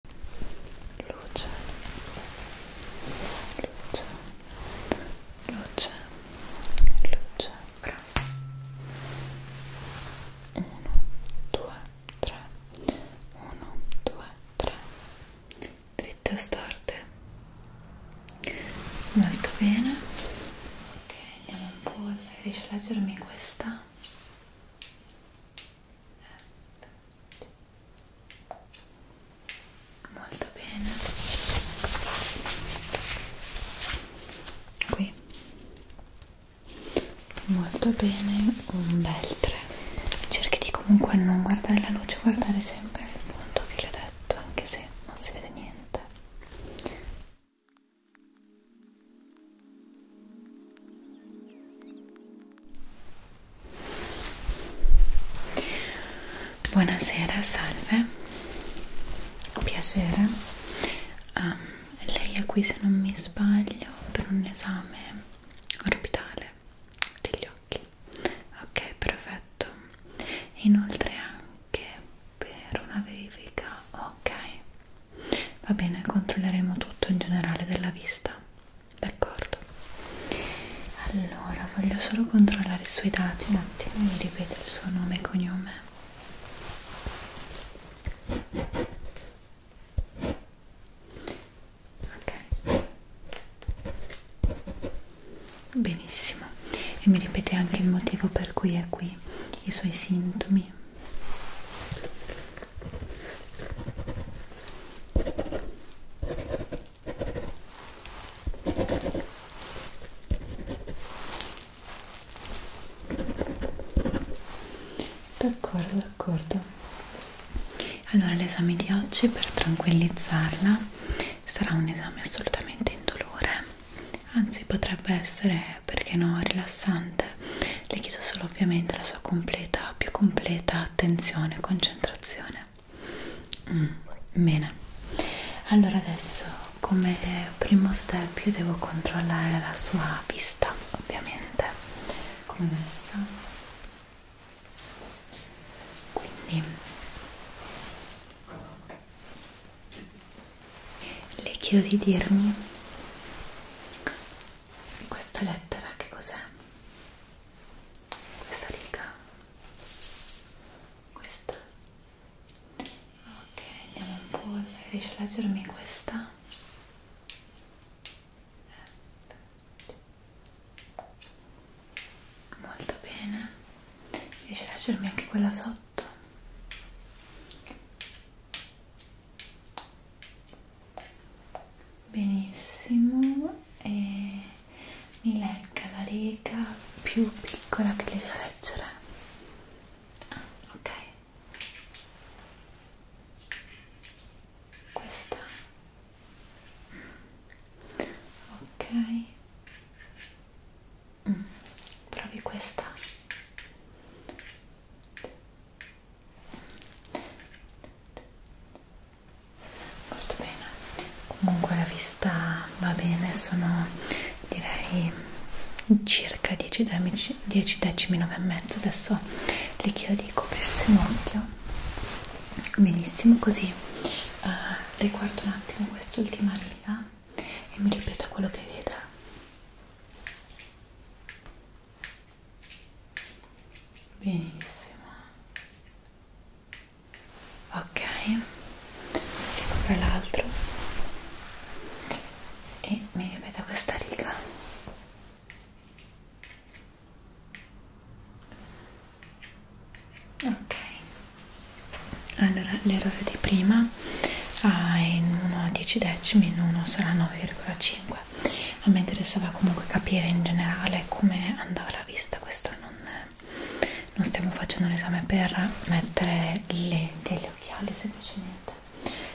luce luce luce luce bravo 1 2 3 1 2 3 dritte o storte molto bene ok andiamo un po' a rilasciarmi questa molto bene qui molto bene un bel 3 cerchi di comunque non guardare la luce guardare sempre il punto che le ho detto anche se non si vede niente Buonasera, salve, piacere. Um, lei è qui se non mi sbaglio per un esame orbitale degli occhi. Ok, perfetto. Inoltre anche per una verifica. Ok, va bene, controlleremo tutto in generale della vista d'accordo? Allora, voglio solo controllare i suoi dati un attimo, mi ripete il suo nome e cognome. Ok. Benissimo. E mi ripete anche il motivo per cui è qui, i suoi sintomi d'accordo d'accordo allora l'esame di oggi per tranquillizzarla sarà un esame assolutamente indolore anzi potrebbe essere perché no rilassante le chiedo solo ovviamente la sua completa, più completa attenzione e concentrazione. Mm, bene, allora adesso come primo step io devo controllare la sua vista, ovviamente, come messa. Quindi le chiedo di dirmi questa lettera che cos'è? questa riga? questa? ok andiamo un po' se riesci a leggermi questa molto bene riesci a leggermi anche quella sotto benissimo e mi legga la riga più piccola che le so leggere ah, ok questa ok mm, provi questa molto bene comunque la vista va bene sono direi circa 10 decimi 10 decimi 9 e mezzo adesso le chiedo di coprirsi un occhio benissimo così uh, riguardo un attimo quest'ultima riga e mi ripeta quello che vede benissimo ok si copre l'altro e mi ripeta questa riga ok allora l'errore di prima ah, in 1 10 decimi in 1 sarà 9,5 vabbè a me interessava comunque capire in generale come andava la vista questa non, non stiamo facendo l'esame per mettere le, degli occhiali semplicemente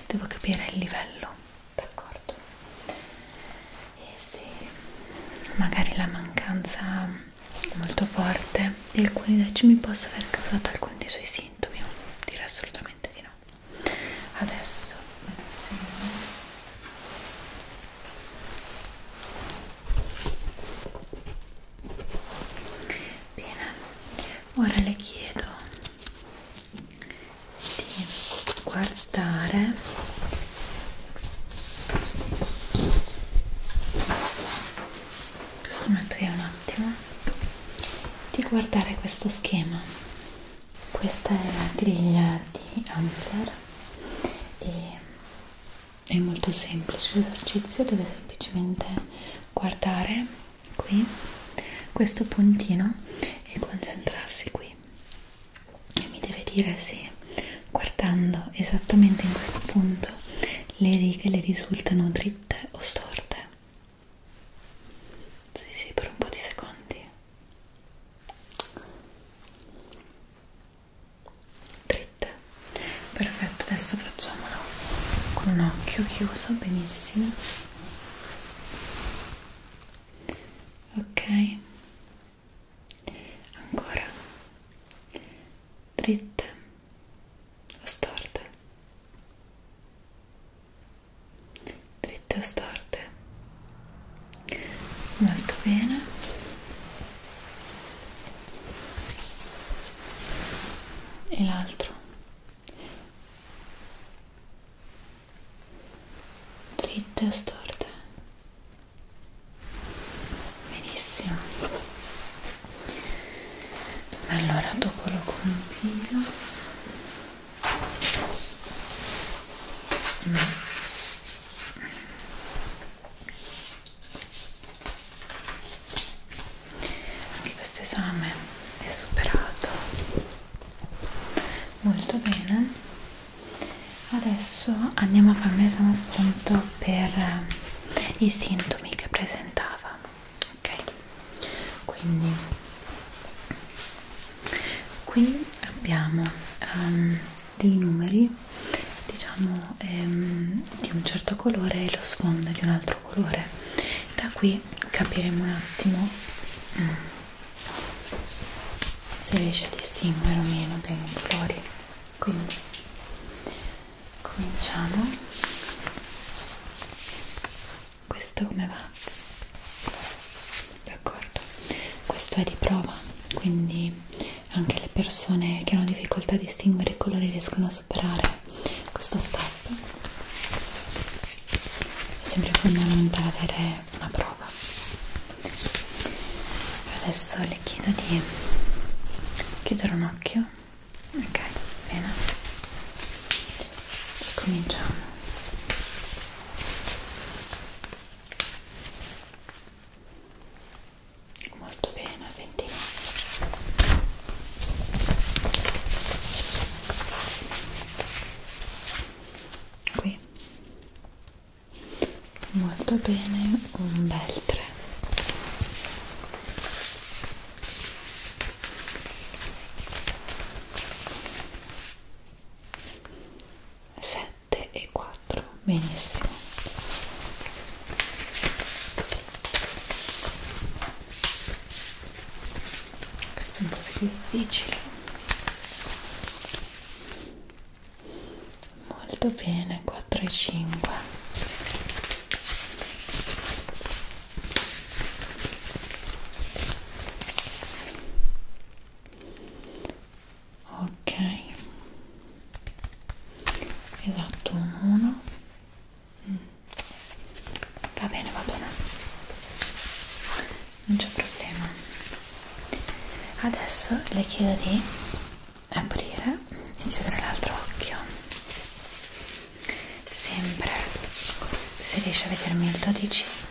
devo capire il livello d'accordo e se magari la mancanza molto forte di alcuni decimi possa aver causato alcuni dei suoi sintomi direi assolutamente di no adesso me lo segno Bene, ora le chiedo di guardare questo metto io un attimo di guardare questo schema questa è la griglia di Amsler e è molto semplice l'esercizio deve semplicemente guardare qui questo puntino e concentrarsi qui e mi deve dire se guardando esattamente in questo punto le righe le risultano dritte o storte sì, sì, per un po' di secondi. Dritte. Perfetto, adesso facciamolo con un occhio chiuso, benissimo. Ok. Ancora. Dritte o storte? dritte o storte molto bene e l'altro dritte o storte benissimo allora dopo lo compilo Mm. Anche questo esame è superato molto bene. Adesso andiamo a fare un esame appunto per eh, i sintomi che presentava. Ok quindi qui abbiamo um, dei numeri diciamo um, di un certo colore e lo sfondo di un altro colore da qui capiremo un attimo mm, se riesce a distinguere o meno bene i colori quindi cominciamo questo come va? d'accordo questo è di prova quindi anche le persone che hanno difficoltà a distinguere i colori riescono a superare questo step è sempre fondamentale avere una prova adesso le chiedo di chiudere un occhio ok bene cominciamo molto bene 29 qui molto bene un bel 3 1 7 e 4 benissimo questo è un po' più difficile molto bene 4 e 5 ok esatto un 1 mm. va bene va bene non c'è problema adesso le chiedo di aprire e chiudere l'altro occhio sempre se riesce a vedermi il 12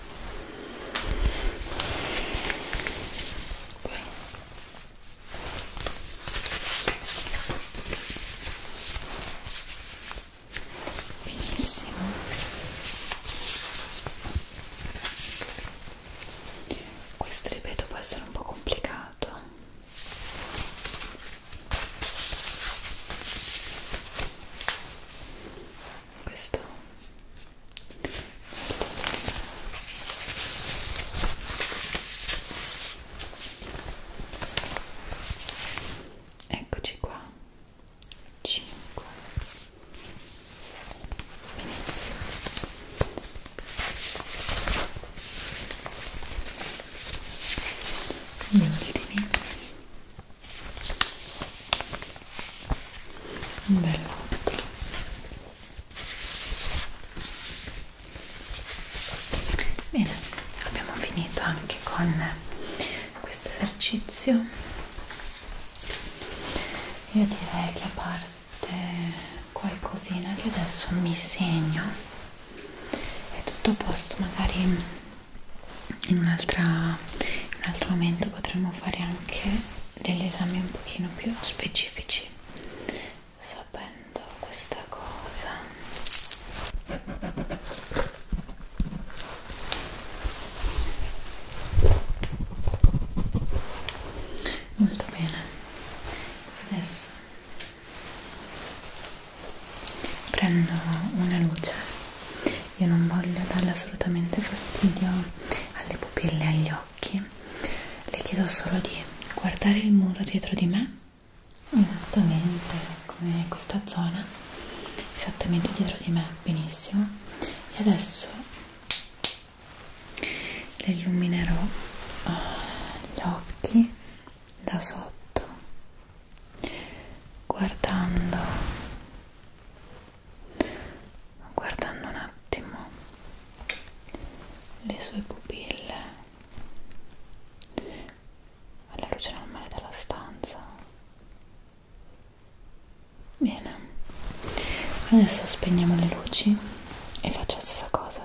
benissimo questo ripeto può essere un po' complicato questo Eccoci qua. 5. Benissimo. Gli ultimi un bel lotto bene abbiamo finito anche con questo esercizio io direi che a parte qualcosina che adesso mi segno è tutto a posto magari in, un altro momento potremmo fare anche degli esami un pochino più specifici sapendo questa cosa molto bene adesso prendo una luce io non voglio darle assolutamente fastidio alle pupille e agli occhi le chiedo solo di guardare il muro dietro di me esattamente come questa zona esattamente dietro di me benissimo e adesso le illuminerò eh, gli occhi da sotto guardando guardando un attimo le sue pupille alla luce normale della stanza bene adesso spegniamo le luci e faccio la stessa cosa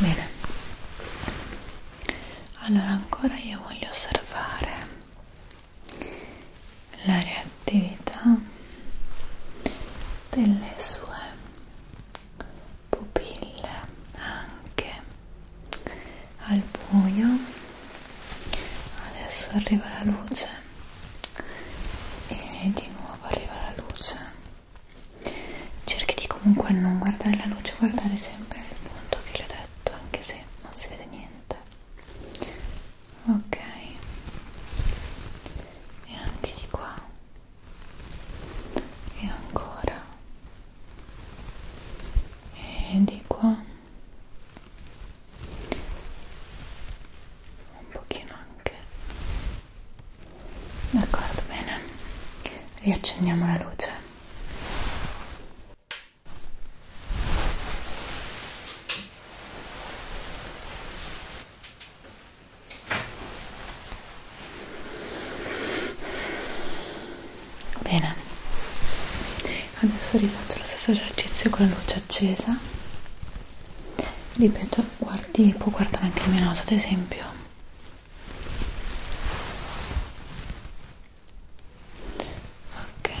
bene allora ancora io voglio osservare la reattività delle sue pupille anche al buio adesso arriva la luce e di nuovo arriva la luce cerchi di comunque non guardare la luce guardare sempre il punto che le ho detto anche se non si vede niente ok e anche di qua e ancora e di qua un pochino anche d'accordo bene riaccendiamo la luce bene adesso rifaccio lo stesso esercizio con la luce accesa ripeto guardi può guardare anche il mio naso ad esempio ok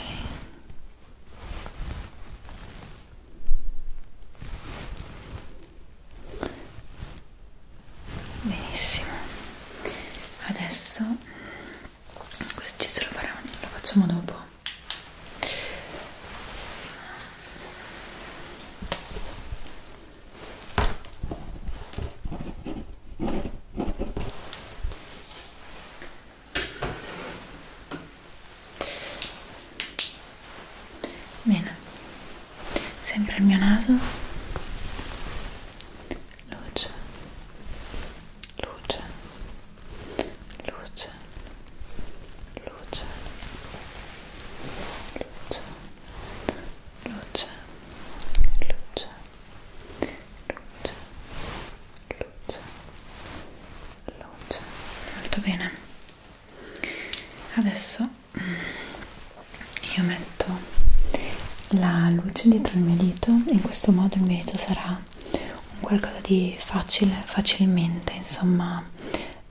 benissimo adesso questo ci lo, faremo, lo facciamo dopo Bene, sempre il mio naso, luce, luce, luce luce luce luce luce luce luce luce molto bene adesso mm, io metto la luce dietro il mio dito in questo modo il mio dito sarà un qualcosa di facile, facilmente insomma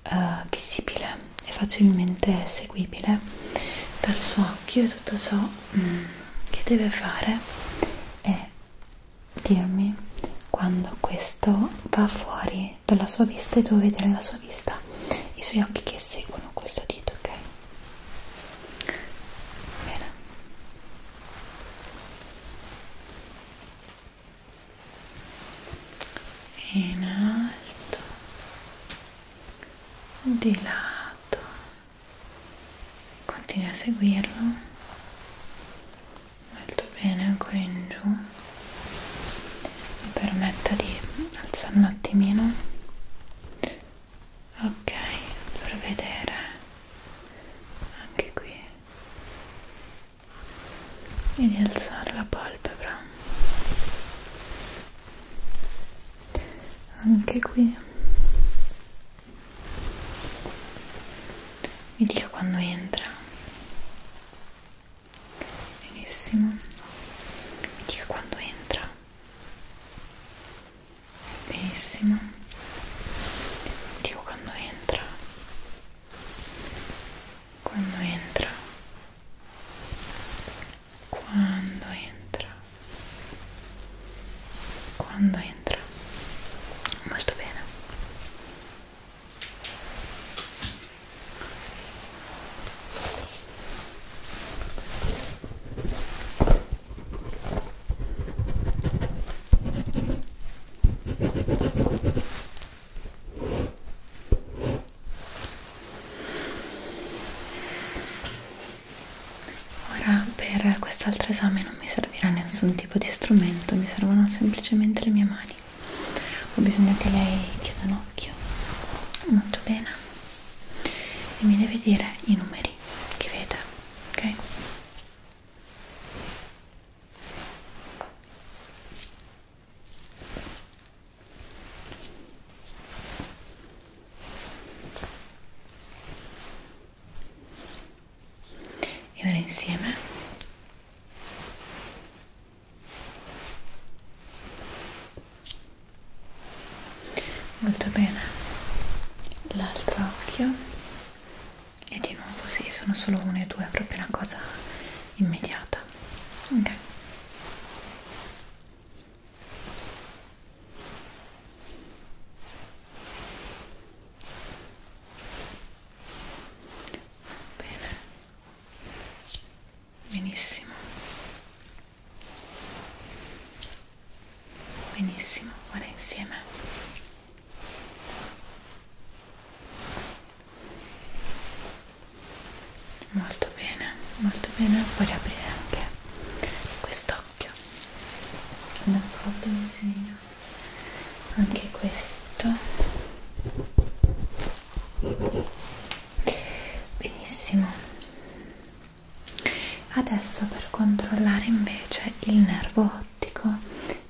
eh, visibile e facilmente seguibile dal suo occhio e tutto ciò mm, che deve fare è dirmi quando questo va fuori dalla sua vista e devo vedere la sua vista i suoi occhi che seguono questo dito ok bene in alto di lato continui a seguirlo molto bene ancora in giù mi permetta di alzare un attimino ok per vedere anche qui e di alzare la palpebra anche qui mi dica quando entra benissimo mi dica quando entra benissimo mi dico quando entra cuando entra cuando entra Cuando entra Muy bien Ora per quest'altro esame non mi servirà nessun tipo di strumento, mi servono semplicemente le mie mani. Ho bisogno che lei chiuda un occhio molto bene e mi deve dire i numeri che vede, ok? e ora insieme molto bene l'altro occhio e di nuovo sì, sono solo uno e due, è proprio una cosa immediata. Ok. Bene. Benissimo. Benissimo, ora insieme molto bene molto bene puoi riaprire anche quest'occhio d'accordo disegno anche questo benissimo adesso per controllare invece il nervo ottico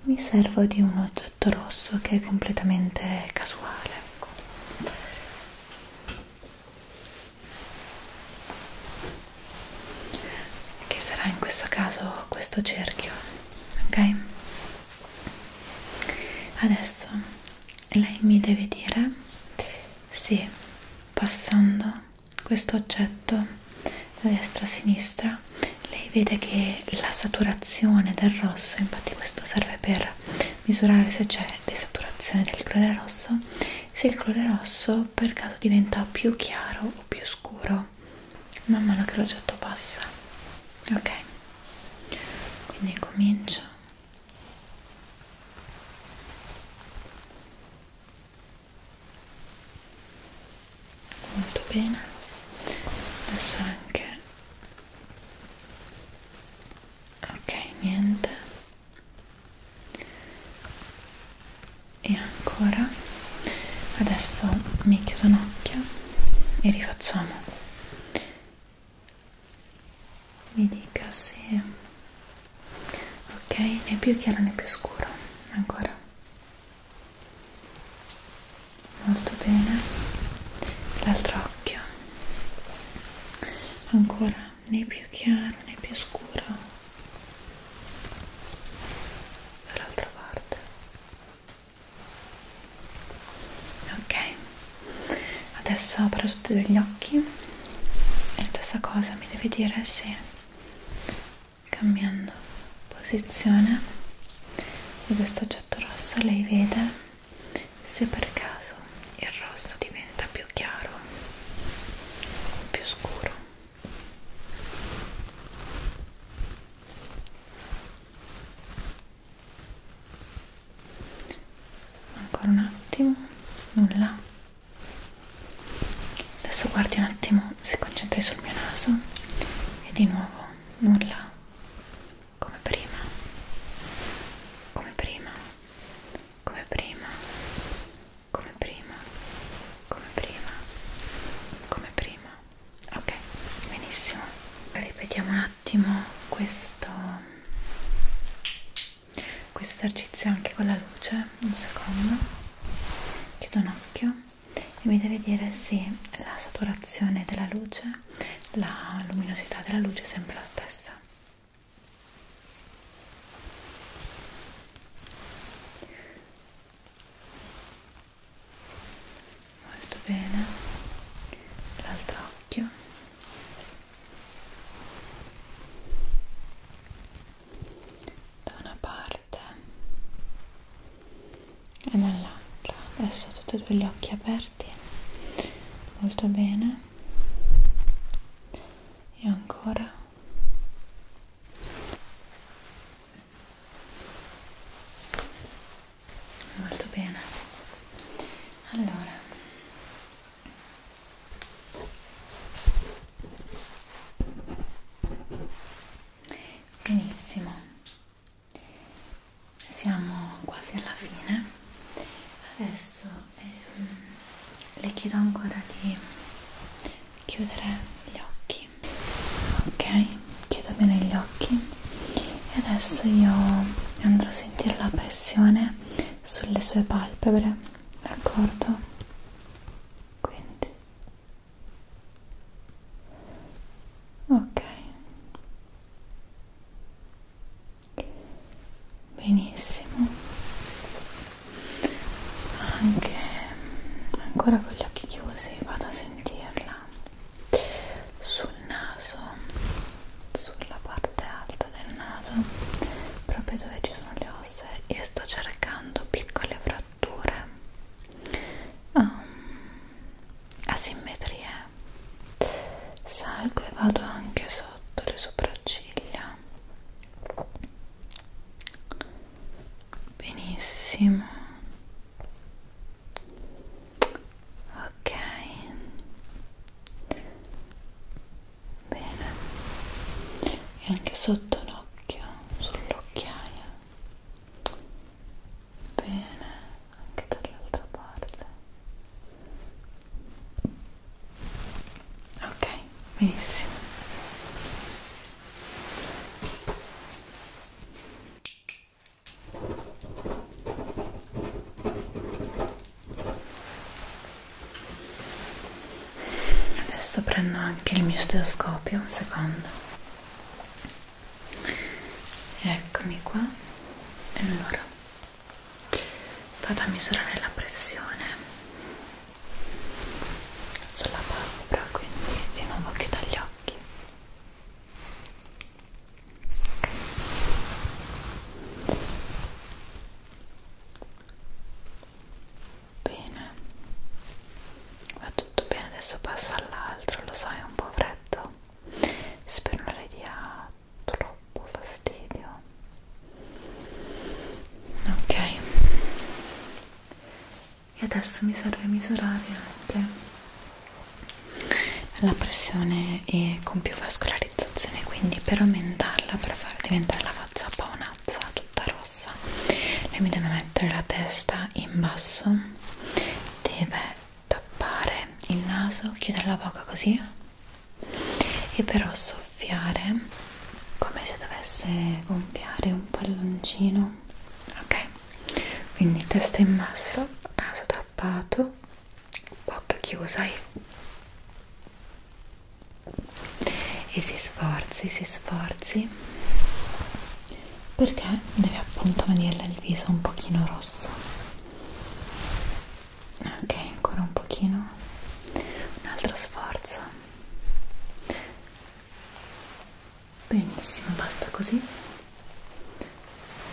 mi servo di un oggetto rosso che è completamente casuale ecco. che sarà in questo caso questo cerchio ok adesso lei mi deve dire se passando questo oggetto da destra a sinistra lei vede che la saturazione del rosso, infatti questo serve per misurare se c'è desaturazione del colore rosso, se il colore rosso per caso diventa più chiaro o più scuro man mano che l'oggetto passa. Ok, quindi comincio molto bene adesso anche ok niente e ancora adesso mi chiudo un occhio e rifacciamo mi dica se ok né più chiaro né più scuro ancora molto bene l'altro occhio ancora né più chiaro né più scuro dall'altra parte ok adesso apro tutti e due gli occhi e stessa cosa mi devi dire se cambiando posizione di questo oggetto rosso lei vede se per caso il rosso diventa più chiaro o più scuro ancora un attimo nulla adesso guardi un attimo si concentri sul mio naso e di nuovo nulla come prima come prima come prima come prima come prima come prima ok benissimo ripetiamo un attimo questo questo esercizio anche con la luce un secondo chiudo un occhio e mi deve dire se la saturazione della luce, la luminosità della luce è sempre la stessa. Molto bene, l'altro occhio. Da una parte e nell'altra adesso tutti e due gli occhi aperti molto bene e ancora molto bene allora benissimo siamo quasi alla fine adesso ehm, le chiedo ancora di chiudere gli occhi ok chiudo bene gli occhi e adesso io andrò a sentire la pressione sulle sue palpebre d'accordo quindi ok benissimo anche ancora con gli occhi chiusi vado a sentirla sul naso sulla parte alta del naso proprio dove ci sono le ossa io sto cercando piccole fratture fratture, um, ehm, asimmetrie. Salgo e vado anche sotto le sopracciglia. Benissimo. Ok. Bene. E anche sotto l'occhio, sull'occhiaia bene anche dall'altra parte ok benissimo adesso prendo anche il mio stetoscopio un secondo eccomi qua allora vado a misurare la pressione sulla palpebra quindi di nuovo chiudo gli occhi okay. Bene, va tutto bene, adesso passo all'altro, lo so è un po' freddo, spero non le dia troppo fastidio. Ok, e adesso mi serve misurare anche la pressione e con più vascolarizzazione, quindi per aumentarla, per far diventare la faccia un po' mazza tutta rossa lei mi deve mettere la testa in basso deve tappare il naso chiudere la bocca così e però soffiare come se dovesse gonfiare un palloncino ok quindi testa in basso naso tappato bocca chiusa e si sforzi si sforzi perché deve appunto venire il viso un pochino rosso ok ancora un pochino un altro sforzo benissimo basta così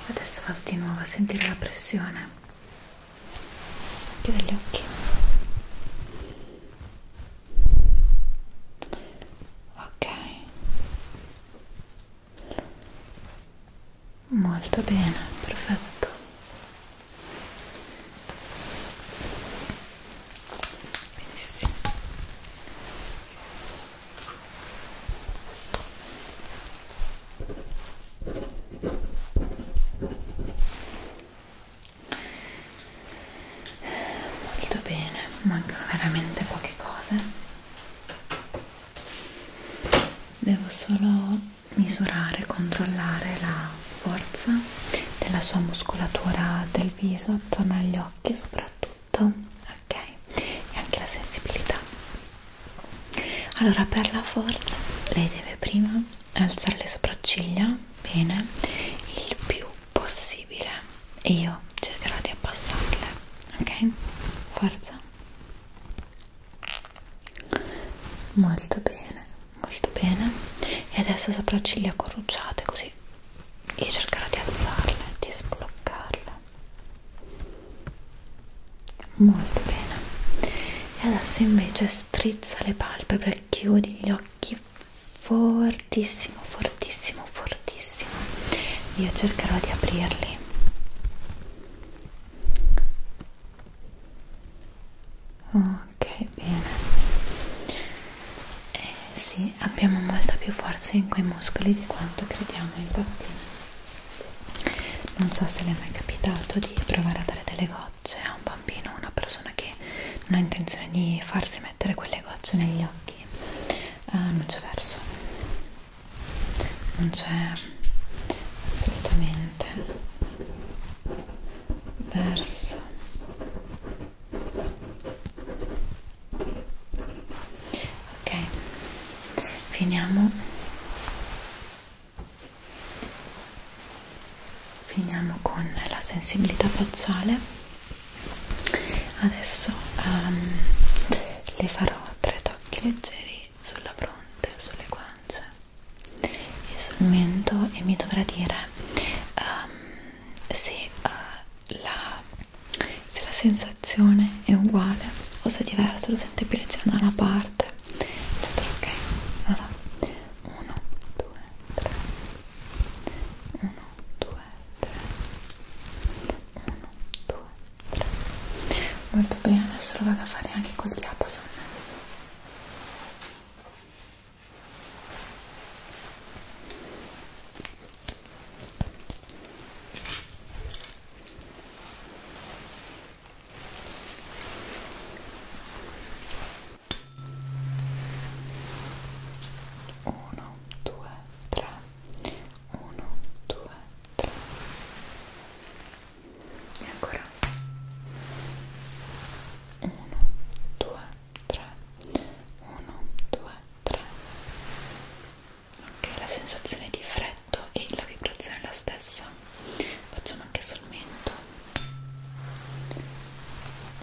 adesso vado di nuovo a sentire la pressione chiudo gli occhi ok molto bene perfetto benissimo molto bene mancano veramente poche cose devo solo misurare controllare la forza della sua muscolatura del viso attorno agli occhi soprattutto ok e anche la sensibilità allora per la forza lei deve prima alzare le sopracciglia bene il più possibile e io cercherò di abbassarle ok forza molto bene molto bene e adesso sopracciglia corrucciate così io cercherò di alzarle di sbloccarle molto bene e adesso invece strizza le palpebre chiudi gli occhi occhi fortissimo, fortissimo, fortissimo. Io cercherò di aprirli. Ok, bene. Eh, sì, abbiamo molta più forza in quei muscoli di quanto crediamo, infatti. Non so se le è mai capitato di provare a dare delle gocce a un bambino, a una persona che non ha intenzione di farsi dovessi mettere quelle gocce negli occhi eh, non c'è verso non c'è assolutamente verso ok finiamo finiamo con la sensibilità facciale adesso um, le farò tre tocchi leggeri sulla fronte, sulle guance e sul mento e mi dovrà dire um, se, uh, la, se la sensazione è uguale o se è diverso, lo sente più leggero da una parte l'altro ok allora 1, 2, 3, 1, 2, 3 1, 2, 3 molto bene, adesso lo vado a fare anche col diapason ok 1 2 3 1 2 3 e ancora 1 2 3 1 2 3 ok la sensazione di freddo e la vibrazione è la stessa facciamo anche sul mento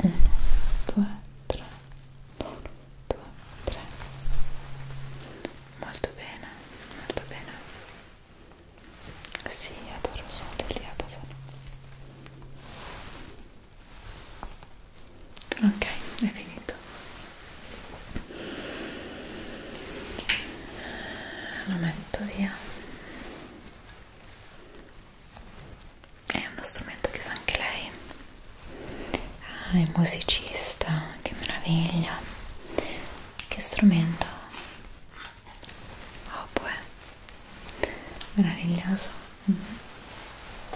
1 2 3 1, 2, 3 molto bene, molto bene sì, adoro il suono del diapason ok, è finito lo metto via è uno strumento che usa anche lei ah, è musicista che meraviglia che strumento oboe oh, boh, meraviglioso mm -hmm.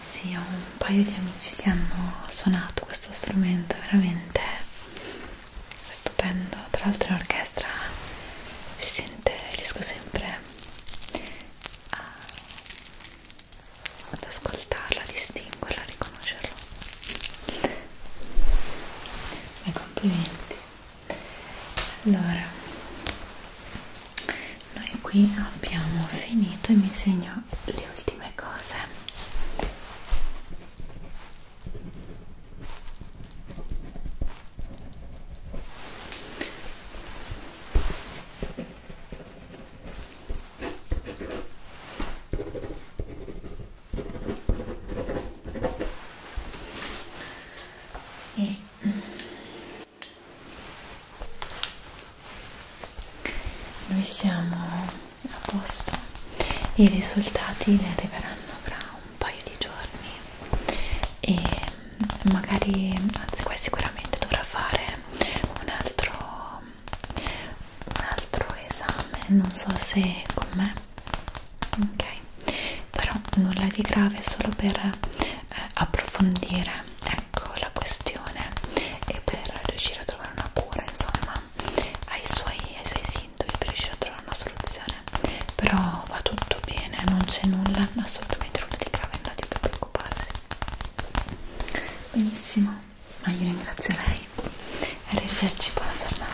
sì ho un paio di amici che hanno suonato questo strumento veramente stupendo tra l'altro in orchestra si sente riesco sempre a, ad ascoltarla a distinguerla a riconoscerla i complimenti allora noi qui abbiamo finito e mi segno le ultime cose e noi siamo a posto e i risultati ne arriveranno tra un paio di giorni e magari anzi qua sicuramente dovrà fare un altro un altro esame non so se con me ok però nulla di grave solo per eh, approfondire ecco la questione e per riuscire a trovare una cura insomma ai suoi, ai suoi sintomi dovete riuscire a trovare una soluzione però va tutto bene non c'è nulla assolutamente nulla di grave non di preoccuparsi benissimo ma io ringrazio lei e arrivederci buona giornata